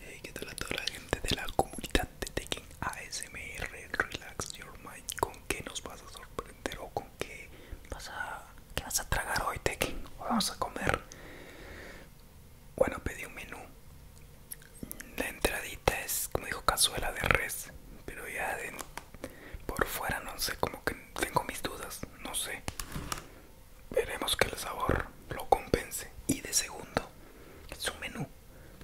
Hey, ¿qué tal a toda la gente de la comunidad de Tekken ASMR Relax Your Mind? ¿Con qué nos vas a sorprender o con qué vas a, qué vas a tragar hoy, Tekken? vamos a comer. Bueno, pedí un menú. La entradita es, como dijo, cazuela de res. Pero ya de, por fuera no sé, como que tengo mis dudas, no sé veremos que el sabor lo compense. Y de segundo, Es un menú.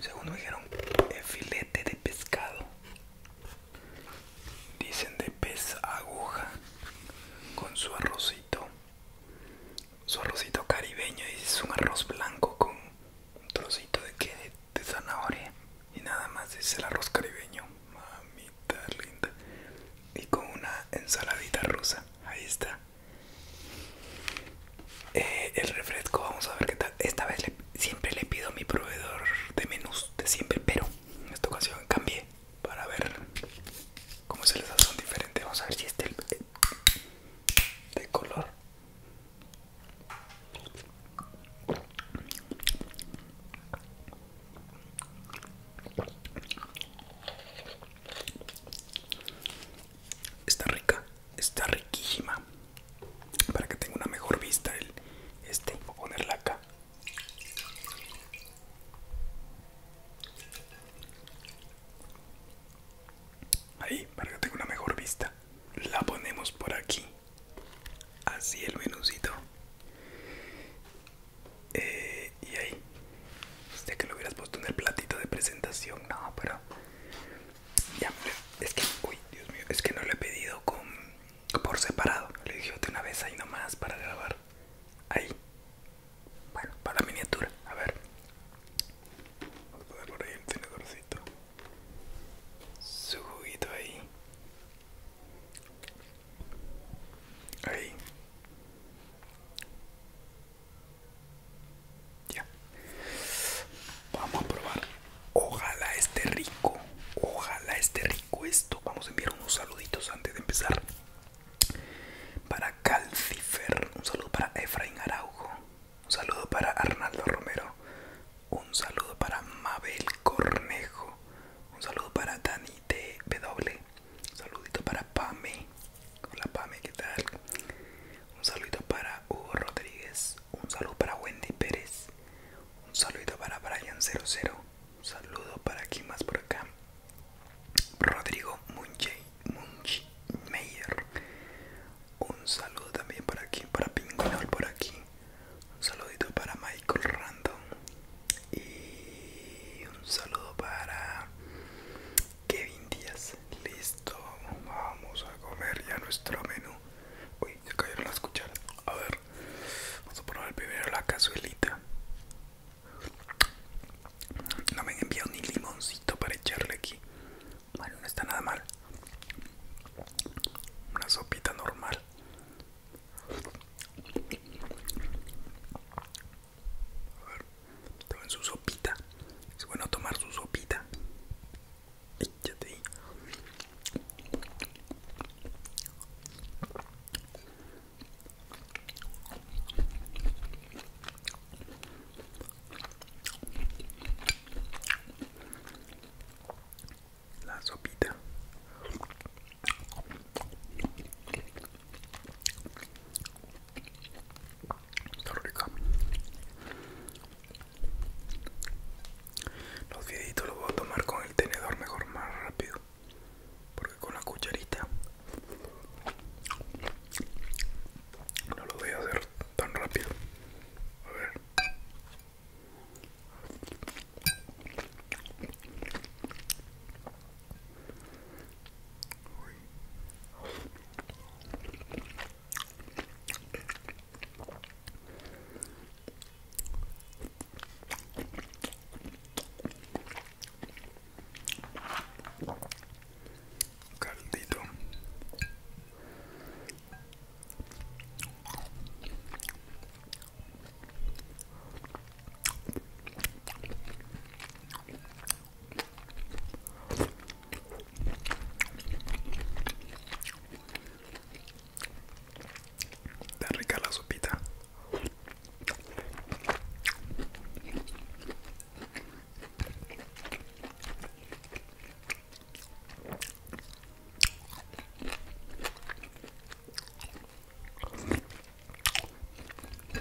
Segundo me dijeron El eh, filete de pescado. Dicen de pez aguja con su arrocito. Su arrocito caribeño y es un arroz blanco con un trocito de qué? de, zanahoria y nada más es el arroz caribeño. Mamita linda. Y con una ensaladita rusa. Ahí está. Eh, el refresco vamos a ver qué tal esta vez siempre le pido a mi proveedor de menús de siempre pero en esta ocasión cambié para ver cómo se les hace son diferente vamos a ver si este eh, de color Está rica, está riquísima. Para que tenga una mejor vista este, voy a ponerla acá. Ahí, para que tenga una mejor vista. La ponemos por aquí. Así el menucito eh, y ahí ya que lo hubieras puesto en el platito de presentación no pero ya es que uy dios mío es que no lo he pedido con por separado le dije una vez ahí nomás para grabar ahí bueno para miniatura a ver vamos a poner por ahí el tenedorcito su juguito ahí ahí ya. Vamos a probar. Ojalá esté rico. Ojalá esté rico esto. Vamos a enviar unos saluditos antes de empezar. Para Calcifer. Un saludo para Efraín Araujo. Un saludo para Arnaldo Romero. Un saludo para Mabel Cornejo. Un saludo para Dani W, Un saludito para Pame. Hola Pame, ¿qué tal? Un saludo para Hugo Rodríguez, un saludo para Wendy Pérez, un saludo para Brian00, un saludo para quien más por acá. Rodrigo Munchi un saludo también para aquí, para Pingonol por aquí, un saludito para Michael Random y un saludo para Kevin Díaz. Listo, vamos a comer ya nuestro menú. Uy, se cayeron las cucharas. A ver, vamos a probar primero la cazuelita. No me han enviado ni limoncito para echarle aquí. Bueno, no está nada mal. Una sopita normal. A ver, tomen su sopita. Es bueno tomar su sopita. La sopita. Está rica. Los fieditos los voy a tomar con el tenedor mejor, más rápido. Porque con la cucharita no lo voy a hacer tan rápido. A ver. Caldito. Está rica la sopita. Qué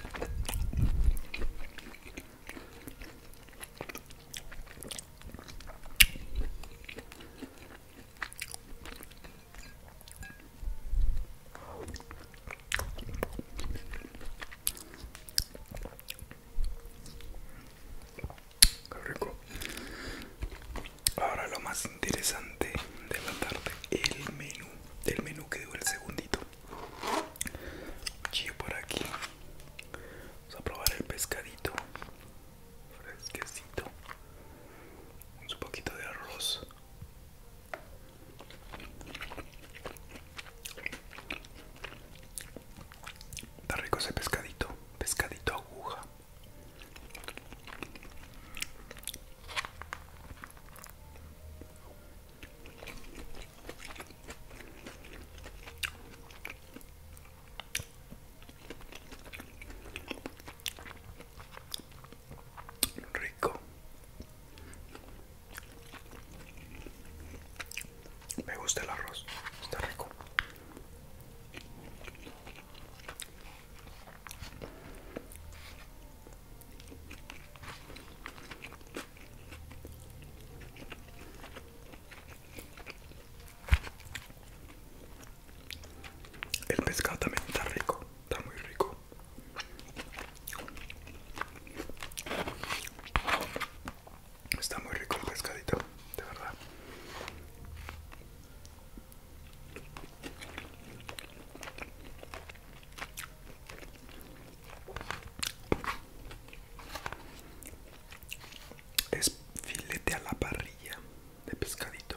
Ahora lo más interesante de la tarde, el menú, el menú que dura el segundito. Chío, por aquí. Vamos a probar el pescadito fresquecito. un poquito de arroz. Está rico ese pescadito, pescadito aguja. Rico. Me gusta el arroz, está rico. El pescado también está rico, está muy rico. Está muy rico el pescadito, de verdad. Es filete a la parrilla de pescadito.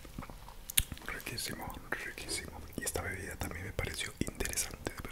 Riquísimo, riquísimo. Y esta bebida también me pareció interesante, de verdad.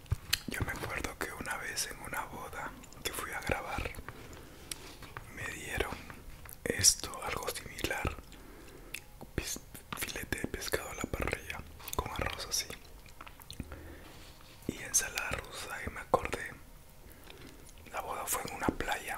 Yo me acuerdo que una vez en una boda que fui a grabar me dieron esto, algo similar, filete de pescado a la parrilla con arroz así y ensalada rusa y me acordé, la boda fue en una playa.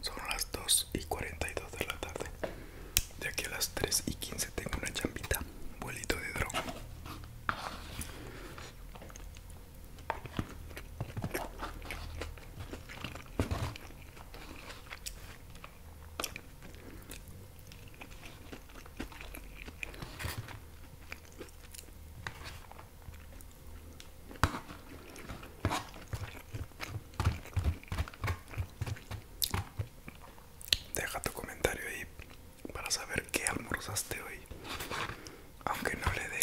Son las 2 y 42 de la tarde. De aquí a las 3 y 15 tengo una chambita. Vuelito de dron. Deja tu comentario ahí para saber qué almorzaste hoy. Aunque no le dé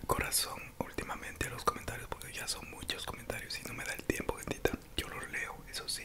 el corazón últimamente a los comentarios porque ya son muchos comentarios y no me da el tiempo, gentita Yo los leo, eso sí.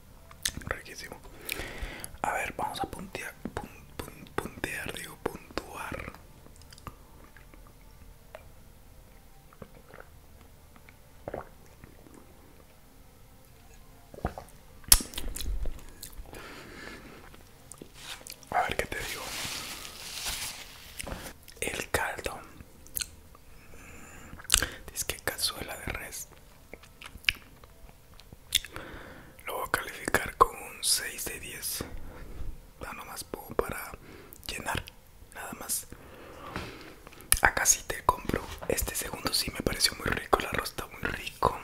riquísimo a ver vamos a puntear puntear digo puntuar a ver qué te digo el caldo mm, es que cazuela de res lo voy a calificar con un 6 de 10. Nada más para llenar. Nada más. Acá sí te compro. Este segundo sí me pareció muy rico. El arroz está muy rico.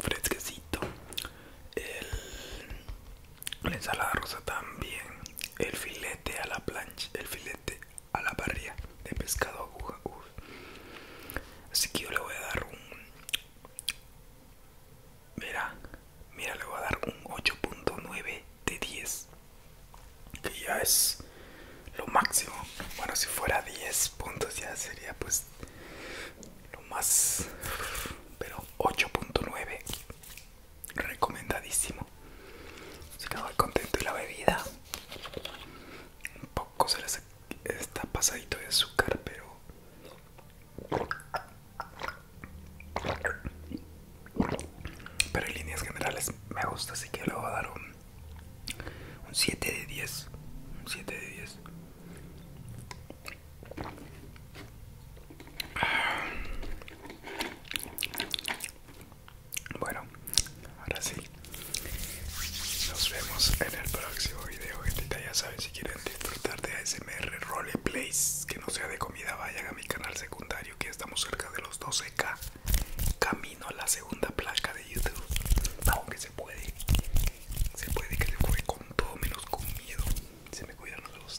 Fresquecito. El, la ensalada rosa también. El filete a la plancha. El filete a la parrilla de pescado aguja. Así que yo le voy a dar un... Mira, mira, le voy a dar un 8.9 de 10. Que ya es lo máximo. Bueno, si fuera 10 puntos ya sería pues lo más... Pero 8.9. Recomendadísimo. Se el contento y la bebida. Un poco se le secó está pasadito de azúcar, pero pero en líneas generales me gusta, así que le voy a dar un, un 7 de 10. Un 7 de 10. Bueno, ahora sí, nos vemos en el próximo video, Ya saben, si quieren disfrutar de ASMR Roleplays, que no sea de comida, vayan a mi canal secundario, que estamos cerca de los 12K. Camino a la segunda placa de YouTube. Aunque se puede, se puede que se juegue con todo menos con miedo. Se me cuidan los dos.